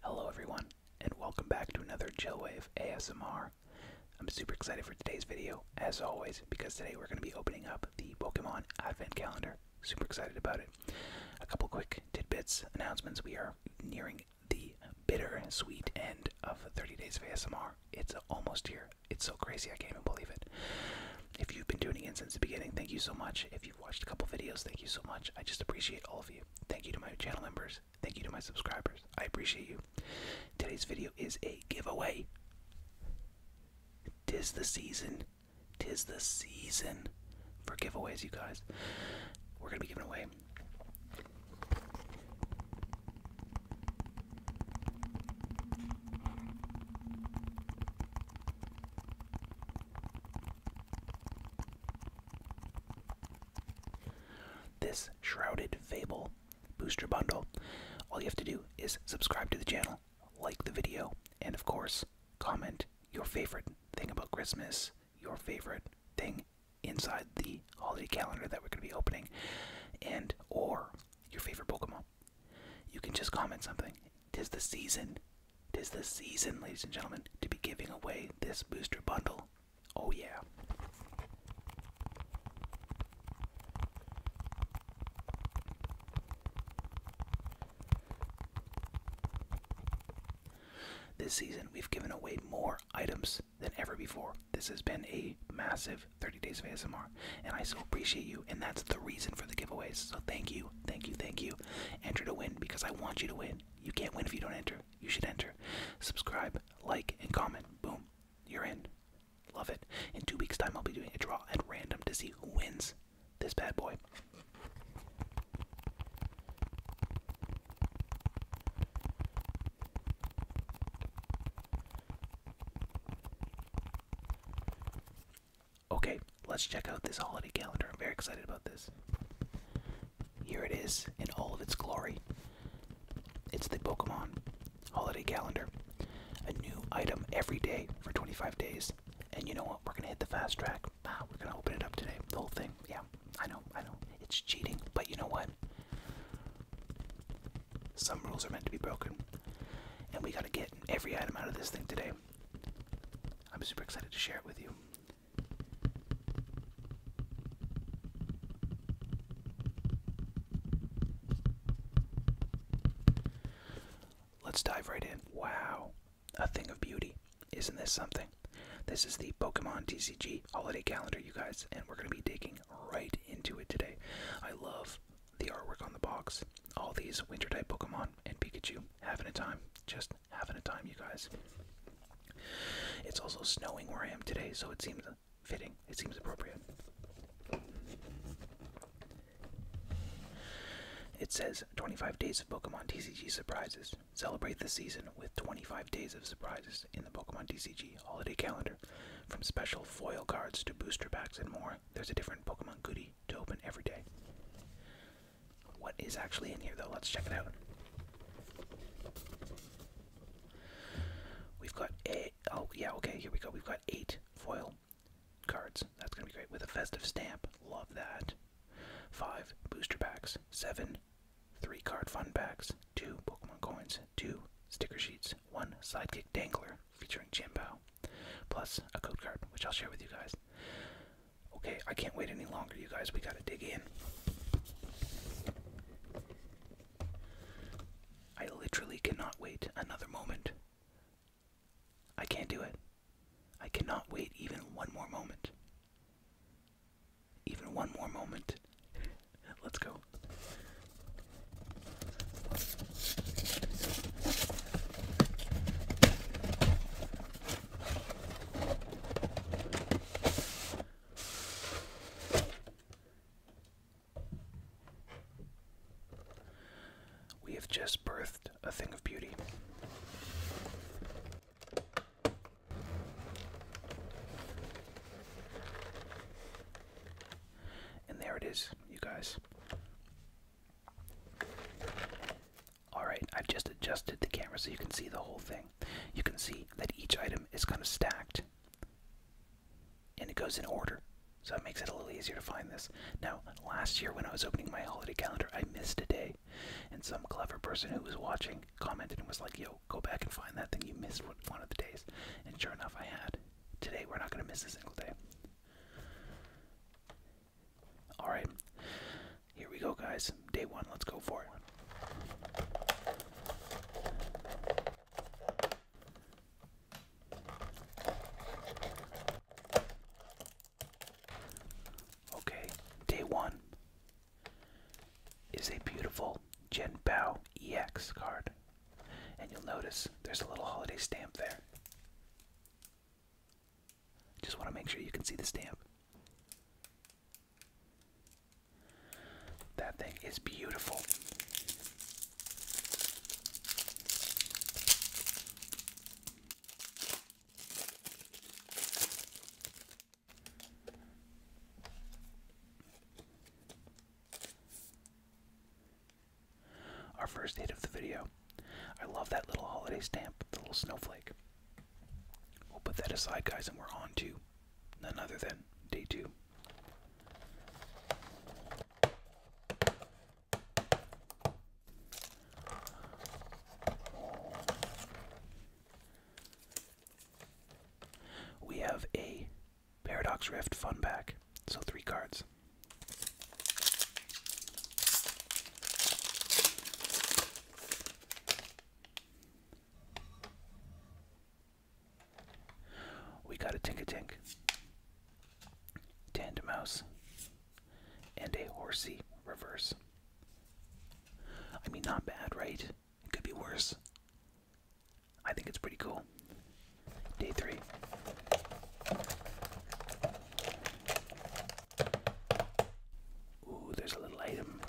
Hello, everyone, and welcome back to another Chillwave ASMR. I'm super excited for today's video, as always, because today we're going to be opening up the Pokemon Advent Calendar. Super excited about it. A couple quick tidbits, announcements. We are nearing the bitter sweet end of 30 days of ASMR. It's almost here. It's so crazy, I can't even believe it. If you've been doing it since the beginning, thank you so much. If you've watched a couple videos, thank you so much. I just appreciate all of you. Thank you to my channel members. Thank you to my subscribers. I appreciate you. Today's video is a giveaway. Tis the season. Tis the season for giveaways, you guys. We're going to be giving away this Shrouded Fable booster bundle, all you have to do is subscribe to the channel, like the video, and of course, comment your favorite thing about Christmas, your favorite thing inside the holiday calendar that we're going to be opening, and or your favorite Pokemon. You can just comment something. Tis the season. Tis the season, ladies and gentlemen, to be giving away this booster bundle. Oh, yeah. This season, we've given away more items than ever before. This has been a massive 30 days of ASMR, and I so appreciate you, and that's the reason for the giveaways. So thank you, thank you, thank you. Enter to win because I want you to win. You can't win if you don't enter you should enter. Subscribe, like, and comment. Boom. You're in. Love it. In two weeks' time, I'll be doing a draw at random to see who wins this bad boy. Okay, let's check out this holiday calendar. I'm very excited about this. Here it is in all of its glory. It's the Pokemon Holiday Calendar. A new item every day for 25 days. And you know what? We're going to hit the fast track. Ah, we're going to open it up today. The whole thing. Yeah, I know, I know. It's cheating, but you know what? Some rules are meant to be broken. And we got to get every item out of this thing today. I'm super excited to share it with you. Let's dive right in. Wow, a thing of beauty. Isn't this something? This is the Pokemon TCG holiday calendar, you guys, and we're going to be digging right into it today. I love the artwork on the box, all these winter type Pokemon and Pikachu having a time, just having a time, you guys. It's also snowing where I am today, so it seems fitting. It seems appropriate. It says 25 days of Pokemon TCG surprises. Celebrate the season with 25 days of surprises in the Pokemon TCG holiday calendar. From special foil cards to booster packs and more, there's a different Pokemon goodie to open every day. What is actually in here, though? Let's check it out. We've got a. Oh, yeah, okay, here we go. We've got eight foil cards. That's going to be great. With a festive stamp. Love that. Five booster packs. Seven three card fun packs. Two Pokemon coins. Two sticker sheets. One sidekick dangler featuring Chimpao. Plus a code card, which I'll share with you guys. Okay, I can't wait any longer, you guys. We gotta dig in. I literally cannot wait another moment. I can't do it. I cannot wait even one more moment. Even one more moment. Let's go. We have just birthed a thing of beauty. And there it is, you guys. Alright, I've just adjusted the camera so you can see the whole thing. You can see that each item is kind of stacked and it goes in order. So it makes it a little easier to find this. Now, last year when I was opening my holiday calendar, I missed a day. And some clever person who was watching commented and was like, yo, go back and find that thing. You missed one of the days. And sure enough, I had. Today, we're not going to miss a single day. Alright. Here we go, guys. Day one, let's go for it. Okay, day one is a beautiful Gen EX card. And you'll notice there's a little holiday stamp there. Just want to make sure you can see the stamp. That thing is beautiful. Our first hit of the video. I love that little holiday stamp, the little snowflake. We'll put that aside, guys, and we're on to none other than day two. We have a Paradox Rift Fun Pack, so three cards. We got a Tinkatink, mouse, and a Horsey reverse. I mean, not bad, right? It could be worse. I think it's pretty cool. Day three. Ooh, there's a little item.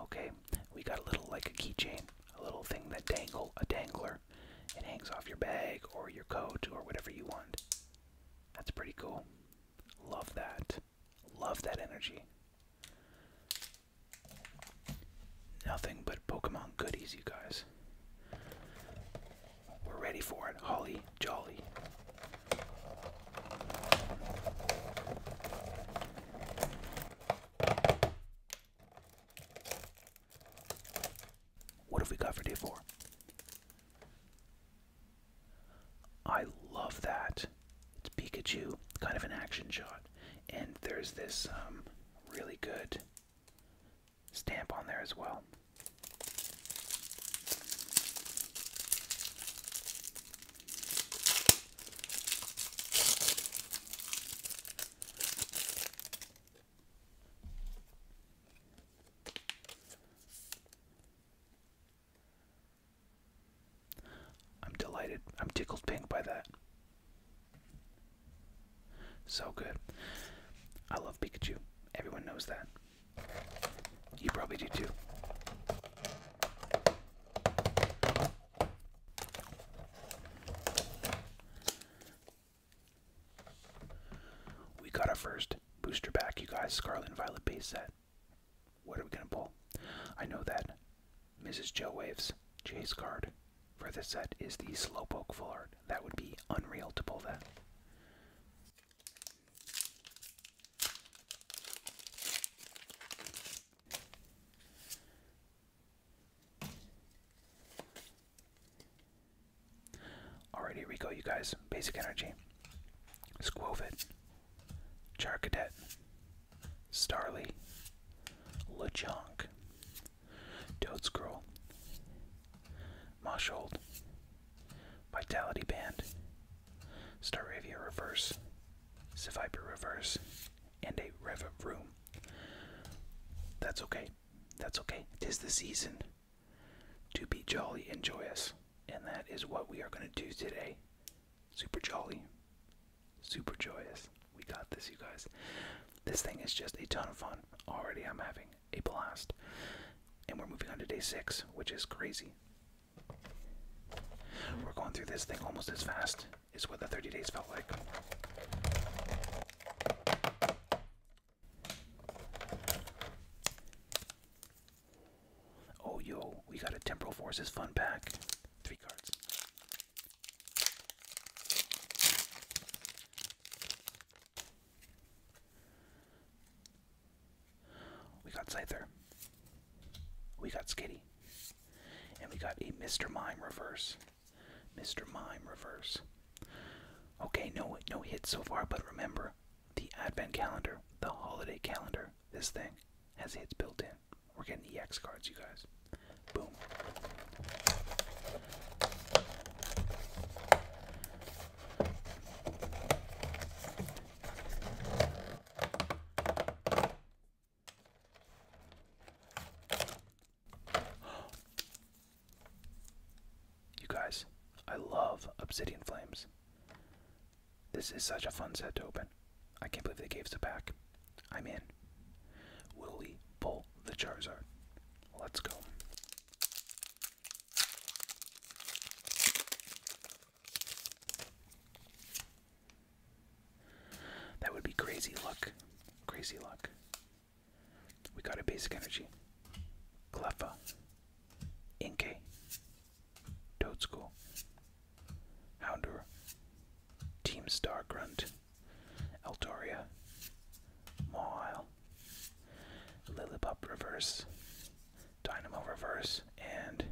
Okay, we got a little like a keychain, a little thing that dangle, a dangler. It hangs off your bag or your coat or whatever you want. That's pretty cool. Love that. Love that energy. Nothing but Pokemon goodies, you guys. We're ready for it. Holly Jolly. What have we got for day four? I love that. It's Pikachu, kind of an action shot. And there's this um, really good stamp on there as well. I'm delighted. I'm tickled pink by that. So good. I love Pikachu. Everyone knows that. You probably do too. We got our first booster pack, you guys. Scarlet Violet base set. What are we going to pull? I know that. Mrs. Joe Waves, Chase card, for this set is the Slowpoke Full Art. That would be unreal to pull that. Alright, here we go, you guys. Basic Energy, Squovit, Charcadet, Starly, Lechonk, Toadscroll, Moshold, Vitality Band, Staravia Reverse, Seviper Reverse, and a Rev Room. That's okay. That's okay. Tis the season to be jolly and joyous, and that is what we are going to do today. Super jolly, super joyous. We got this, you guys. This thing is just a ton of fun. Already, I'm having a blast. And we're moving on to day six, which is crazy. We're going through this thing almost as fast as what the 30 days felt like. Oh, yo, we got a Temporal Forces fun pack. Three cards. We got Scyther. We got Skitty. And we got a Mr. Mime reverse. Mr. Mime reverse. Okay, no no hits so far, but remember, the advent calendar, the holiday calendar, this thing has hits built in. We're getting the X cards, you guys. Boom. You guys, I love Obsidian Flames. This is such a fun set to open. I can't believe they gave us a pack. I'm in. Will we pull the Charizard? Let's go. That would be crazy luck. Crazy luck. We got a basic energy. Cleffa. Inkay. Toad Houndour. Team Star Grunt. Eldoria, Mawile, Lillipup Reverse, Dynamo Reverse, and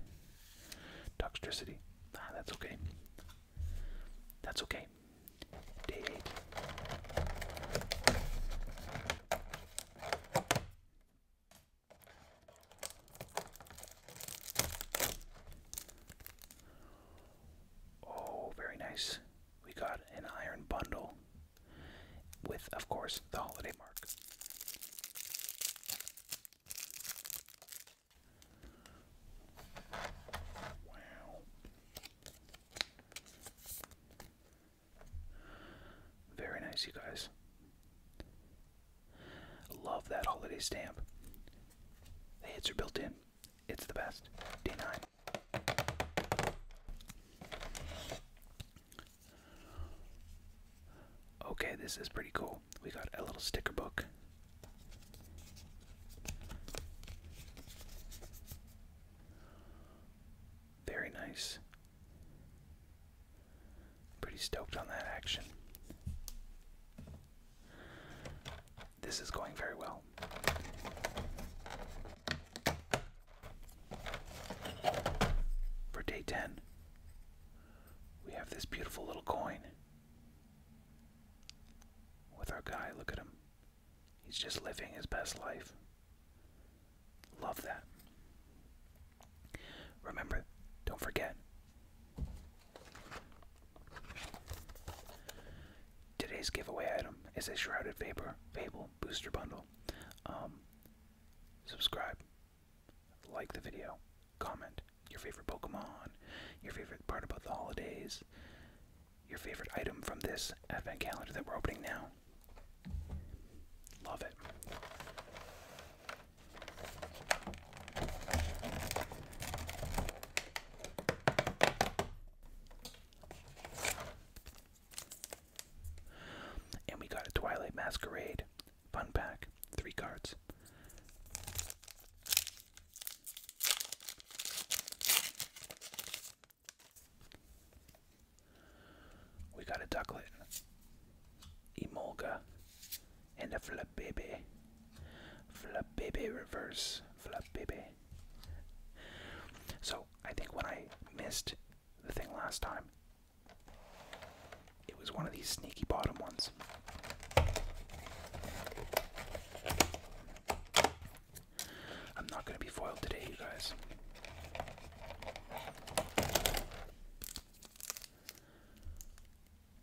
Toxtricity. Ah, that's okay. That's okay. Day 8. Oh, very nice. We got an iron bundle with, of course, the holiday mark. Wow. Very nice, you guys. Love that holiday stamp. The hits are built in. It's the best. D9. Okay, this is pretty cool. We got a little sticker book. Very nice. Pretty stoked on that action. This is going very well. For day 10, we have this beautiful little coin with our guy. Look at him. He's just living his best life. Love that. Remember, don't forget, Today's giveaway item is a Shrouded Vapor Fable Booster Bundle. Um, subscribe, like the video, comment your favorite Pokemon, your favorite part about the holidays, your favorite item from this advent calendar that we're opening now. Love it. And we got a Twilight Masquerade fun pack, three cards. We got a Ducklet, Emolga, and a Flabébé. Flabebe reverse. Flabebe. So I think when I missed the thing last time, it was one of these sneaky bottom ones. I'm not going to be foiled today, you guys.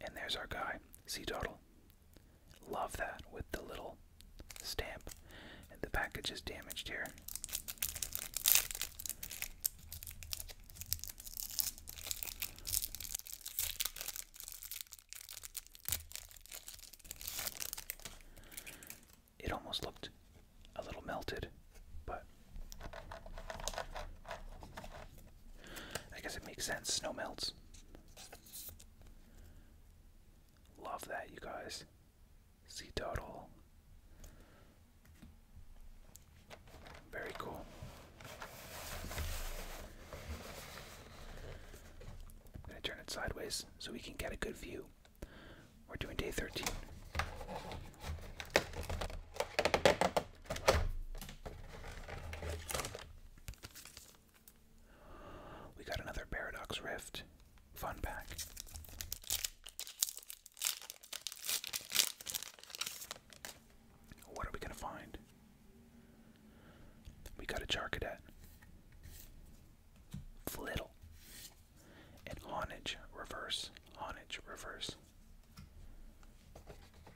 And there's our guy, Sea Dottle. Love that with the little stamp. And the package is damaged here. It almost looked a little melted, but I guess it makes sense. Snow melts. Love that, you guys. Sea turtle. Very cool. I'm going to turn it sideways so we can get a good view. We're doing day 13. We got another Paradox Rift. Fun pack. What are we going to find? We got a Charcadet. Flittle. And Honage reverse. Honage reverse.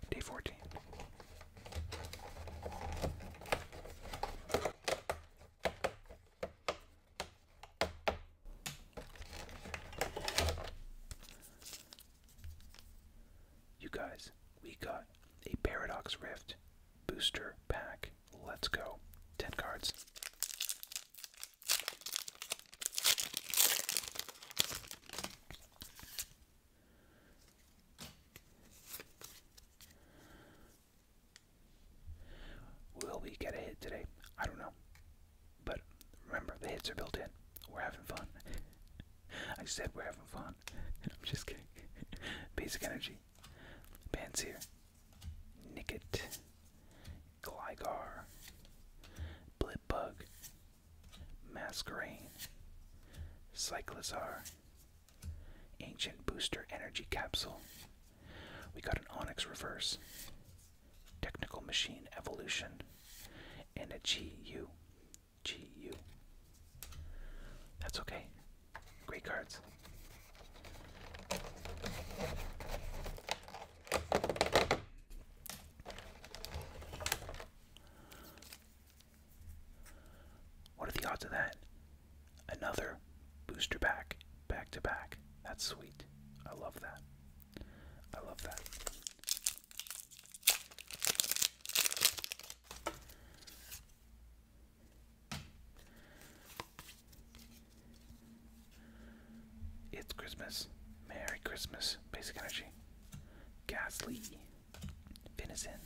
Day 14. You guys, we got a Paradox Rift booster pack. Let's go. 10 cards. Will we get a hit today? I don't know. But remember, the hits are built in. We're having fun. I said we're having fun. I'm just kidding. Basic energy. Panseer. Nicket. Gligar. Blipbug. Masquerain. Cyclozar. Ancient Booster Energy Capsule. We got an Onyx Reverse. Technical Machine Evolution. And a GU. That's okay. Great cards. What are the odds of that? Another booster pack, back to back. That's sweet. I love that. I love that. It's Christmas. Merry Christmas. Basic energy. Gasly venison,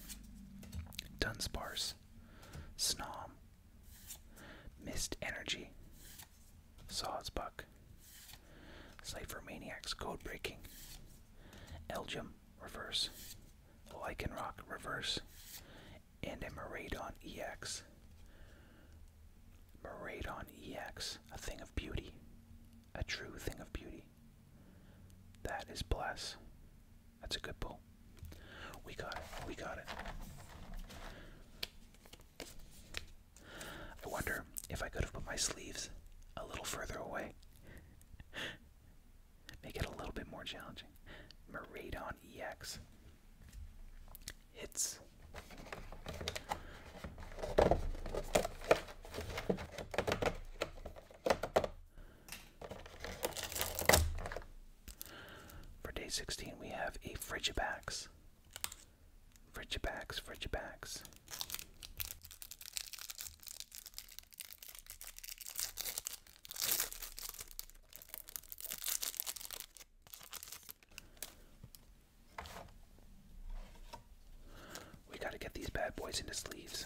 dunsparce, snom, mist energy, sawsbuck, slave for maniacs, code breaking, elgium, reverse, lycanroc, reverse, and a Maradon EX. Maradon EX, a thing of beauty, a true thing of beauty. That is bless. That's a good pull. We got it. We got it. I wonder if I could have put my sleeves a little further away. Make it a little bit more challenging. Meridon EX. Hits. For day 16, we have a Frigibax. Frigibax, Frigibax. We gotta get these bad boys into sleeves.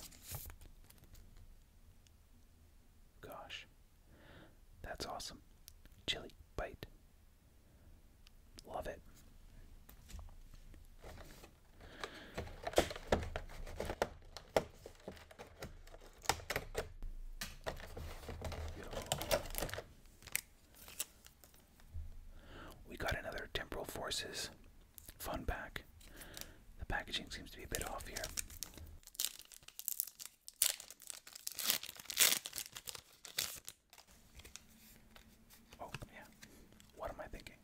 Gosh. That's awesome. Chili bite. Love it. We got another Temporal Forces fun pack. The packaging seems to be a bit off here. Oh, yeah. What am I thinking?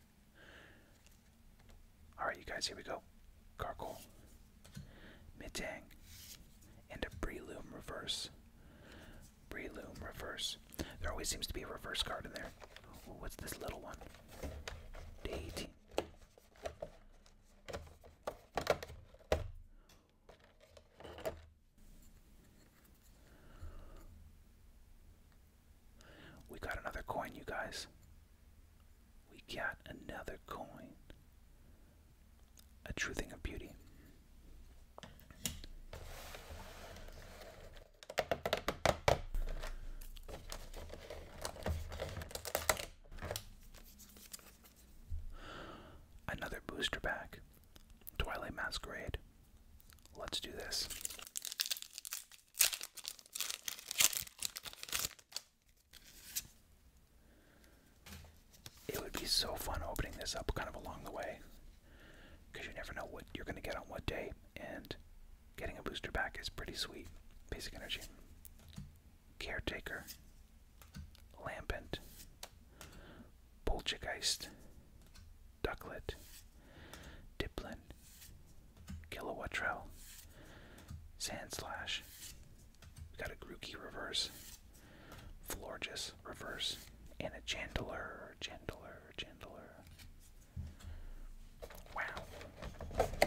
Alright, you guys, here we go. Gargoyle, Mitang, and a Breloom reverse. Breloom reverse. There always seems to be a reverse card in there. what's this little one? Day we got another coin, you guys. We got another coin. A true thing of beauty. Another booster pack. Twilight Masquerade. Let's do this. It would be so fun opening this up kind of along the way because you never know what you're going to get on what day, and getting a booster back is pretty sweet. Basic energy. Caretaker, Lambent, Poltergeist, Ducklet, Diplin, Kilowattrell, Sandslash. We got a Grookey reverse, Florges reverse, and a Chandler, Chandler, Chandler. Wow.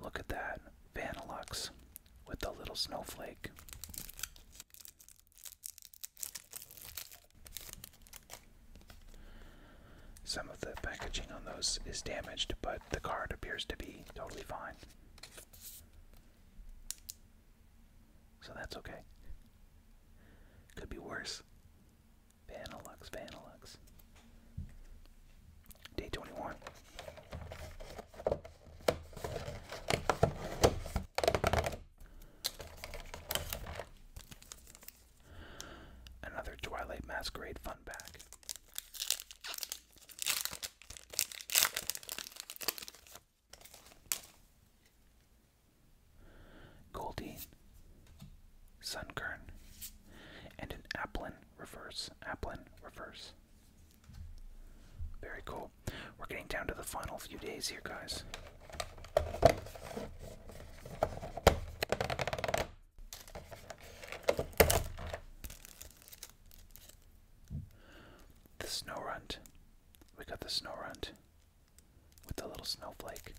Look at that, Vanilux with the little snowflake. Some of the packaging on those is damaged, but the card appears to be totally fine. So that's okay. Could be worse. Vanilux, Vanilux. Day 21. Another Twilight Masquerade fun pack. Goldene, Sunkern, and an Applin reverse. Applin reverse. Very cool. We're getting down to the final few days here, guys. The snow we got the snow runt with the little snowflake.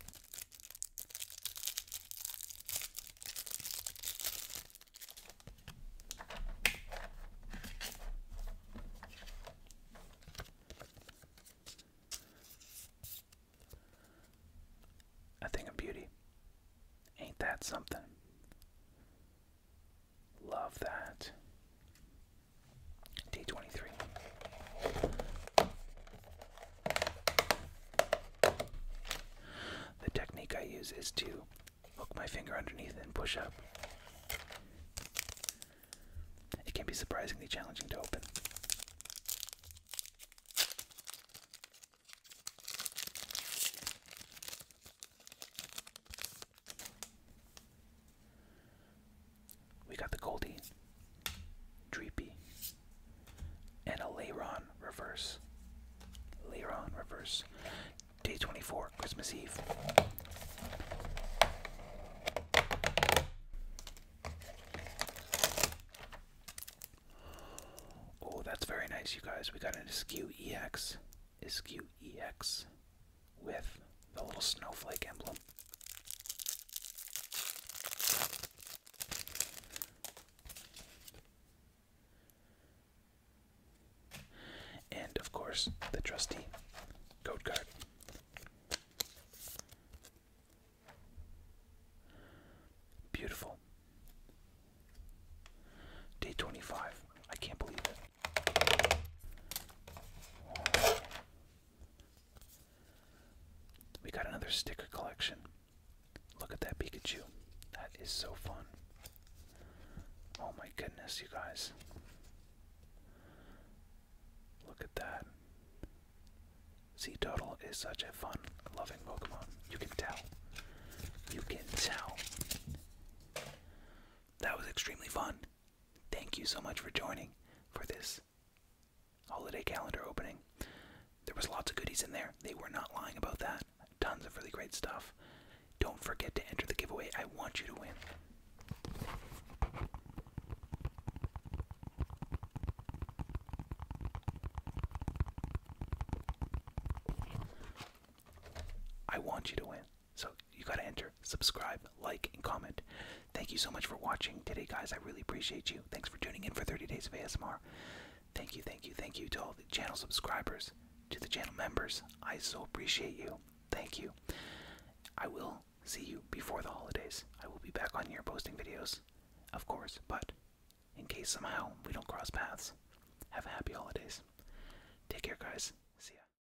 A thing of beauty. Ain't that something? Love that. D23. The technique I use is to hook my finger underneath and push up. It can be surprisingly challenging to open. We got the Goldie, Dreepy, and a Leiron reverse. Leiron reverse. Day 24, Christmas Eve. Oh, that's very nice, you guys. We got an Askew EX with the little snowflake emblem. And of course, the trusty code card. Beautiful. Day 25. I can't believe it. We got another sticker collection. Look at that Pikachu. That is so fun. Oh my goodness, you guys. Look at that. Turtle is such a fun, loving Pokemon. You can tell. You can tell. That was extremely fun. Thank you so much for joining for this holiday calendar opening. There was lots of goodies in there. They were not lying about that. Tons of really great stuff. Don't forget to enter the giveaway. I want you to win. I want you to win. So you gotta enter, subscribe, like, and comment. Thank you so much for watching today, guys. I really appreciate you. Thanks for tuning in for 30 Days of ASMR. Thank you, thank you, thank you to all the channel subscribers, to the channel members. I so appreciate you. Thank you. I will see you before the holidays. I will be back on here posting videos, of course, but in case somehow we don't cross paths, have a happy holidays. Take care, guys. See ya.